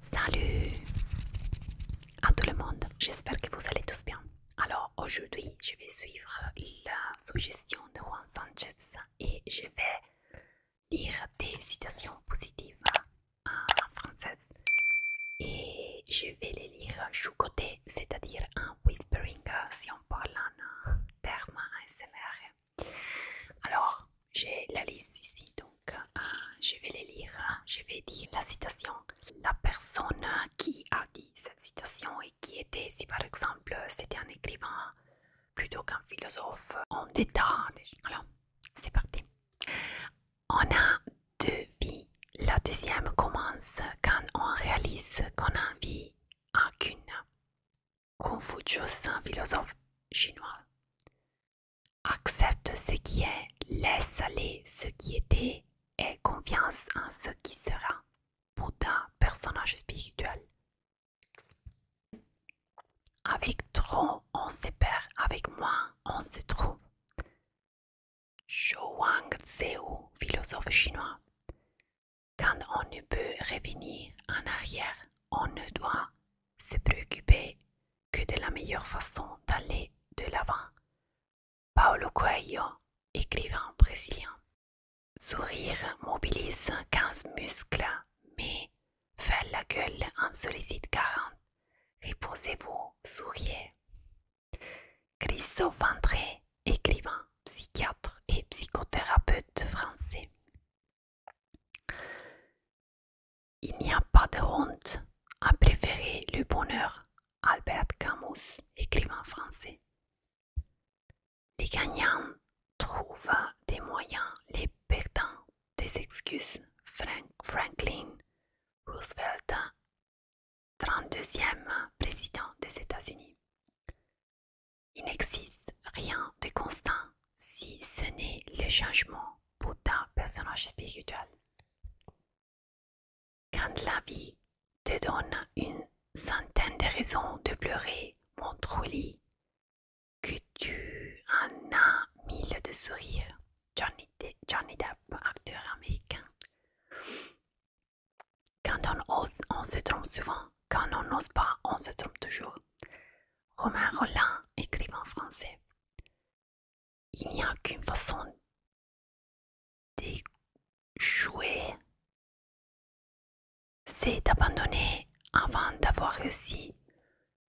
Salut à tout le monde, j'espère que vous allez tous bien. Alors aujourd'hui, je vais suivre la suggestion de Juan Sanchez et je vais lire des citations positives en français et je vais les lire choucoté, c'est-à-dire en whispering si on parle en terme S.M.R. Alors, j'ai la liste ici, donc euh, je vais les lire. Hein. Je vais dire la citation. La personne qui a dit cette citation et qui était, si par exemple c'était un écrivain plutôt qu'un philosophe, On détail. Alors, c'est parti. On a deux vies. La deuxième commence quand on réalise qu'on en vit Confucius, philosophe chinois, accepte ce qui est, laisse aller ce qui était et confiance en ce qui sera. Bouddha, personnage spirituel. Avec trop, on se perd, avec moins, on se trouve. Zhou Wang philosophe chinois. Quand on ne peut revenir en arrière, on ne doit se préoccuper que de la meilleure façon d'aller de l'avant. Paulo Coelho, écrivain brésilien. Sourire mobilise 15 muscles, mais faire la gueule en sollicite 40. réposez vous souriez. Christophe André, écrivain psychiatre et psychothérapeute français. Il n'y a pas de honte à préférer le bonheur, Albert Camus, écrivain français. Les gagnants trouvent des moyens, les perdants des excuses, Frank Franklin Roosevelt, 32e président des États-Unis. Il n'existe rien de constant si ce n'est le changement pour ta personnage spirituel. Quand la vie te donne une centaine de raisons de pleurer, mon lui que tu en as mille de sourires. Johnny Depp, acteur américain. Quand on ose, on se trompe souvent. Quand on n'ose pas, on se trompe toujours. Romain Rollin, écrivain français. Il n'y a qu'une façon d'échouer, c'est d'abandonner avant d'avoir réussi.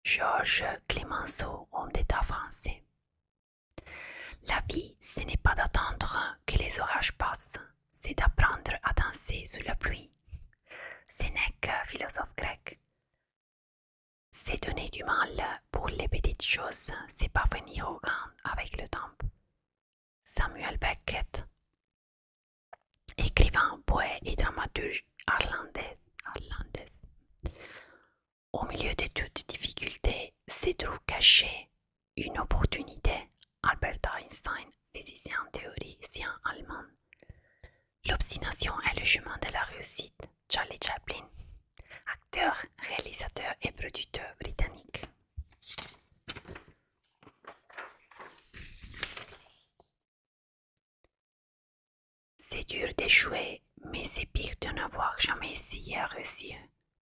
Georges Clemenceau, homme d'État français. La vie, ce n'est pas d'attendre que les orages passent, c'est d'apprendre à danser sous la pluie. Sénèque, philosophe grec. C'est donner du mal pour les petites choses, c'est pas venir au grand avec le temps. Samuel Beckett, écrivain, poète et dramaturge irlandais. Au milieu de toutes difficultés se trouve caché une opportunité, Albert Einstein, physicien théoricien allemand. L'obstination est le chemin de la réussite, Charlie Chaplin, acteur, réalisateur et producteur britannique. C'est dur d'échouer, mais c'est pire de n'avoir jamais essayé à réussir,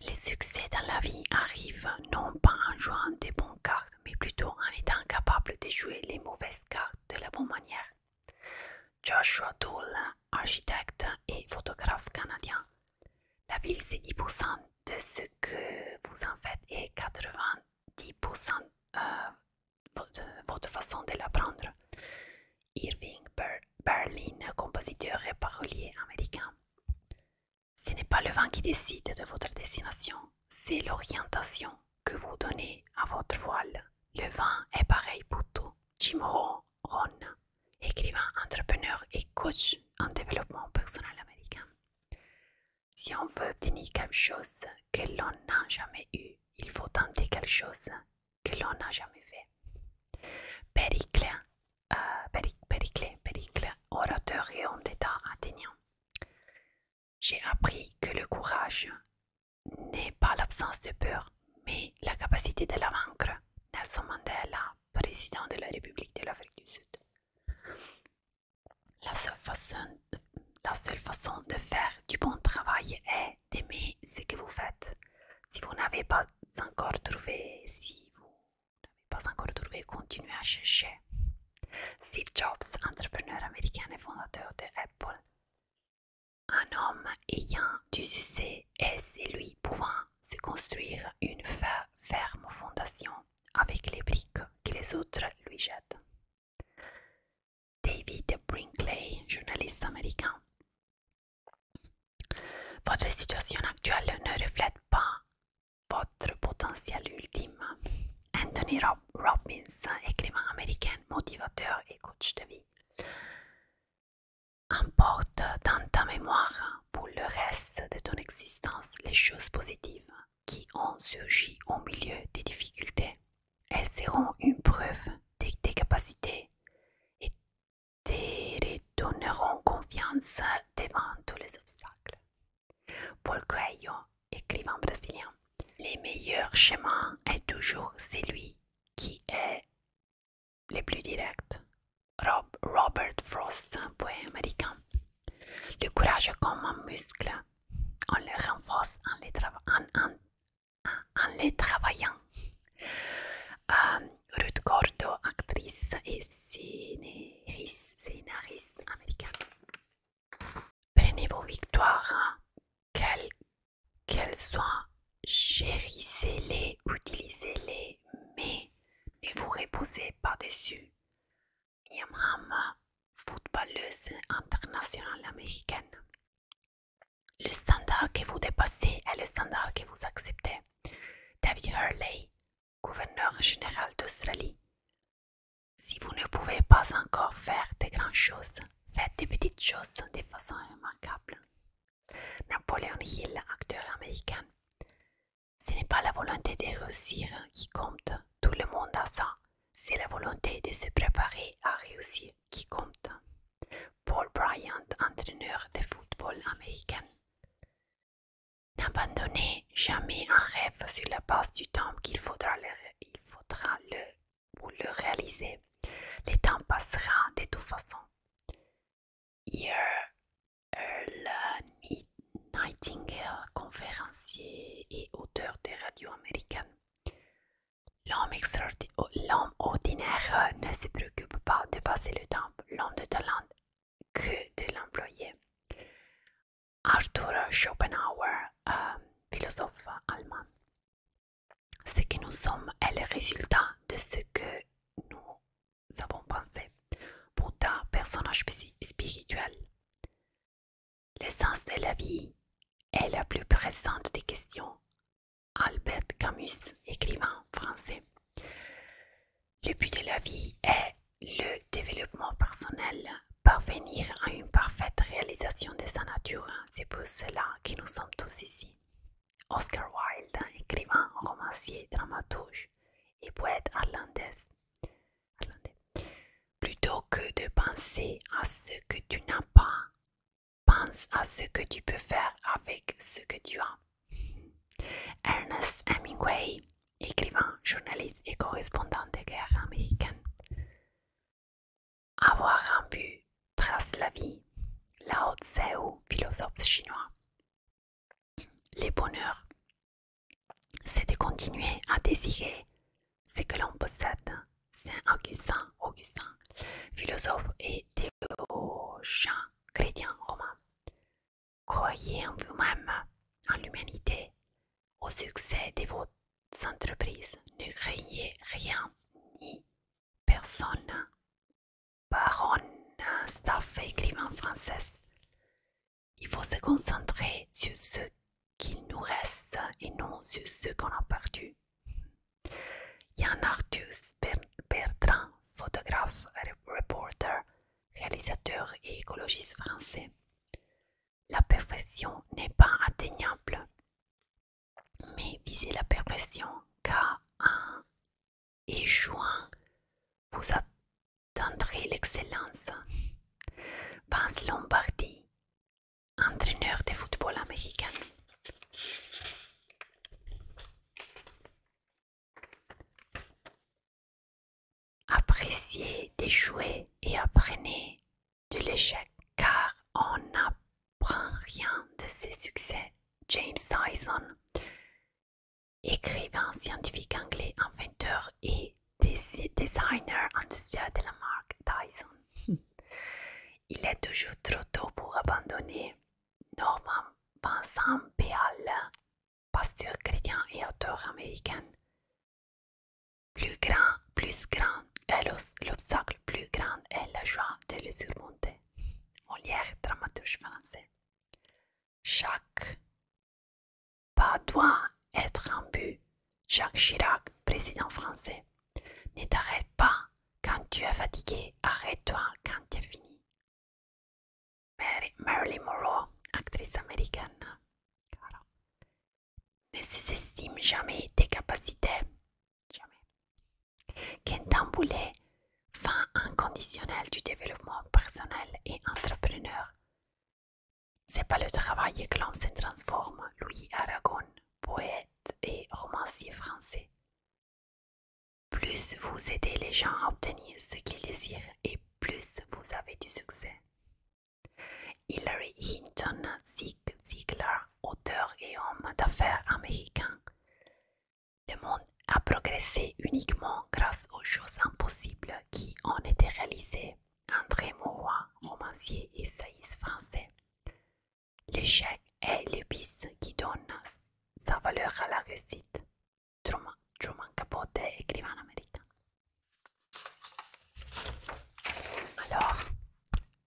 Les succès dans la vie arrivent non pas en jouant des bonnes cartes, mais plutôt en étant capable de jouer les mauvaises cartes de la bonne manière. Joshua Dole, architecte et photographe canadien. La ville, c'est 10% de ce que vous en faites et 90% euh, de votre façon de l'apprendre. Irving Berlin, compositeur et parolier américain. Ce n'est pas le vent qui décide de votre destination, c'est l'orientation que vous donnez à votre voile. Le vent est pareil pour tout. Jim Rohn, écrivain, entrepreneur et coach en développement personnel américain. Si on veut obtenir quelque chose que l'on n'a jamais eu, il faut tenter quelque chose que l'on n'a jamais fait. Pericle. Euh, péricle, orateur et homme d'État athénien. J'ai appris que le courage n'est pas l'absence de peur, mais la capacité de la vaincre. Nelson Mandela, président de la République de l'Afrique du Sud. la seule façon de faire du bon travail est d'aimer ce que vous faites. Si vous n'avez pas encore trouvé, si vous n'avez pas encore trouvé, continuez à chercher. Steve Jobs, entrepreneur américain et fondateur de Apple, un homme ayant du succès est lui, pouvant se construire une ferme fondation avec les briques que les autres lui jettent. David Brinkley, journaliste américain, votre situation actuelle ne reflète pas votre potentiel ultime. Anthony Robbins, écrivain américain, motivateur et coach de vie, emporte dans ta mémoire pour le reste de ton existence les choses positives qui ont surgi au milieu des difficultés. Elles seront une preuve de tes capacités et te redonneront confiance devant tous les obstacles. Paul Coelho, écrivain brésilien, le meilleur chemin est toujours celui qui est le plus direct. Robert Frost, poète américain. Le courage est comme un muscle. On le renforce en en le travaillant. Euh, Ruth Gordo, actrice et scénariste, américaine. Prenez vos victoires, hein. qu'elles qu'elles soient, chérissez-les, utilisez-les, mais ne vous reposez pas dessus. Miam footballeuse internationale américaine. Le standard que vous dépassez est le standard que vous acceptez. David Hurley, gouverneur général d'Australie. Si vous ne pouvez pas encore faire de grandes choses, faites de petites choses de façon remarquable. Napoleon Hill, acteur américain. Ce n'est pas la volonté de réussir qui compte, tout le monde a ça. C'est la volonté de se préparer à réussir qui compte. Paul Bryant, entraîneur de football américain. N'abandonnez jamais un rêve sur la base du temps qu'il faudra le, réaliser. Le temps passera de toute façon. Earl euh, Nightingale, conférencier et auteur de radio américaine. L'homme oh, ordinaire ne se préoccupe ne peut pas dépasser le temps l'homme de talent que de l'employé. Arthur Schopenhauer, euh, philosophe allemand. Ce que nous sommes est le résultat de ce que nous avons pensé. pour ta personnage spirituel. L'essence de la vie est la plus présente des questions. Albert Camus, écrivain français. Le but de la vie est le développement personnel, parvenir à une parfaite réalisation de sa nature. C'est pour cela que nous sommes tous ici. Oscar Wilde, écrivain, romancier, dramaturge et poète irlandais. Plutôt que de penser à ce que tu n'as pas, Pense à ce que tu peux faire avec ce que tu as. Ernest Hemingway, écrivain, journaliste et correspondant de guerre américaines Avoir un but trace la vie. Lao Tseu, philosophe chinois. Le bonheur, c'est de continuer à désirer ce que l'on possède. Saint Augustin, Augustin, philosophe et théologien chrétien romain. Croyez en vous-même, en l'humanité, au succès de vos entreprises. Ne craignez rien ni personne. Baronne, staff écrivain française. Il faut se concentrer sur ce qu'il nous reste et non sur ce qu'on a perdu. Yann Arthus Bertrand, photographe, reporter, réalisateur et écologiste français. La perfection n'est pas atteignable, mais visez la perfection car en juin, vous atteindrez l'excellence. Vince Lombardi, entraîneur de football américain. Appréciez des et apprenez de l'échec car on n'apprend rien de ses succès. James Tyson, écrivain scientifique anglais, inventeur et designer industriel de la marque Dyson. Il est toujours trop tôt pour abandonner Norman Vincent Béal, pasteur chrétien et auteur américain. Plus grand, plus grand l'obstacle, plus grand est la joie de le surmonter. Molière, dramaturge français. Chaque pas doit être un but. Jacques Chirac, président français. Ne t'arrête pas quand tu es fatigué, arrête-toi quand tu es fini. Marilyn Monroe, actrice américaine. Ne sous-estime jamais tes capacités. Jamais. Qu'un fin inconditionnelle du développement personnel et entrepreneur. C'est pas le travail que l'homme se transforme, Louis Aragon, poète et romancier français. Plus vous aidez les gens à obtenir ce qu'ils désirent et plus vous avez du succès. Hillary Hinton Ziegler, auteur et homme d'affaires américain. Le monde a progressé uniquement grâce aux choses impossibles qui ont été réalisées. André roi romancier et saïs français. L'échec est l'épice qui donne sa valeur à la réussite. Truman, Capote, écrivain américain. Alors,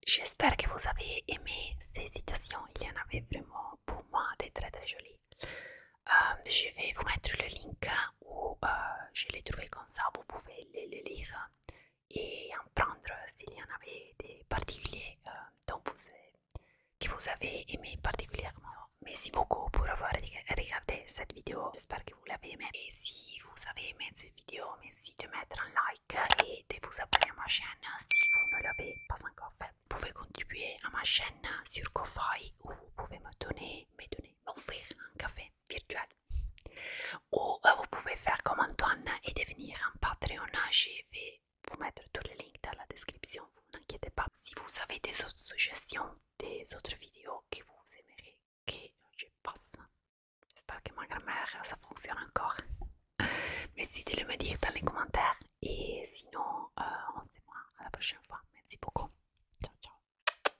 j'espère que vous avez aimé ces citations. Il y en avait vraiment pour moi des très très jolies. Euh, je vais vous mettre le lien où euh, je l'ai trouvé comme ça. Vous pouvez les lire et en prendre s'il y en avait des particuliers euh, dont vous que vous avez aimé particulièrement. Merci beaucoup pour avoir regardé cette vidéo. J'espère que vous l'avez aimé. Et si vous avez aimé cette vidéo, merci de mettre un like et de vous abonner à ma chaîne si vous ne l'avez pas encore fait. Vous pouvez contribuer à ma chaîne sur Ko-Fi ou vous pouvez me donner, me donner, offrir un café virtuel. Ou euh, vous pouvez faire comme Antoine et devenir un Patreon vous mettre tous les liens dans la description, vous n'inquiétez pas. Si vous avez des autres suggestions, des autres vidéos que vous aimeriez que je fasse, j'espère que ma grammaire, ça fonctionne encore. Merci de le me dire dans les commentaires. Et sinon, euh, on se voit à la prochaine fois. Merci beaucoup. Ciao, ciao.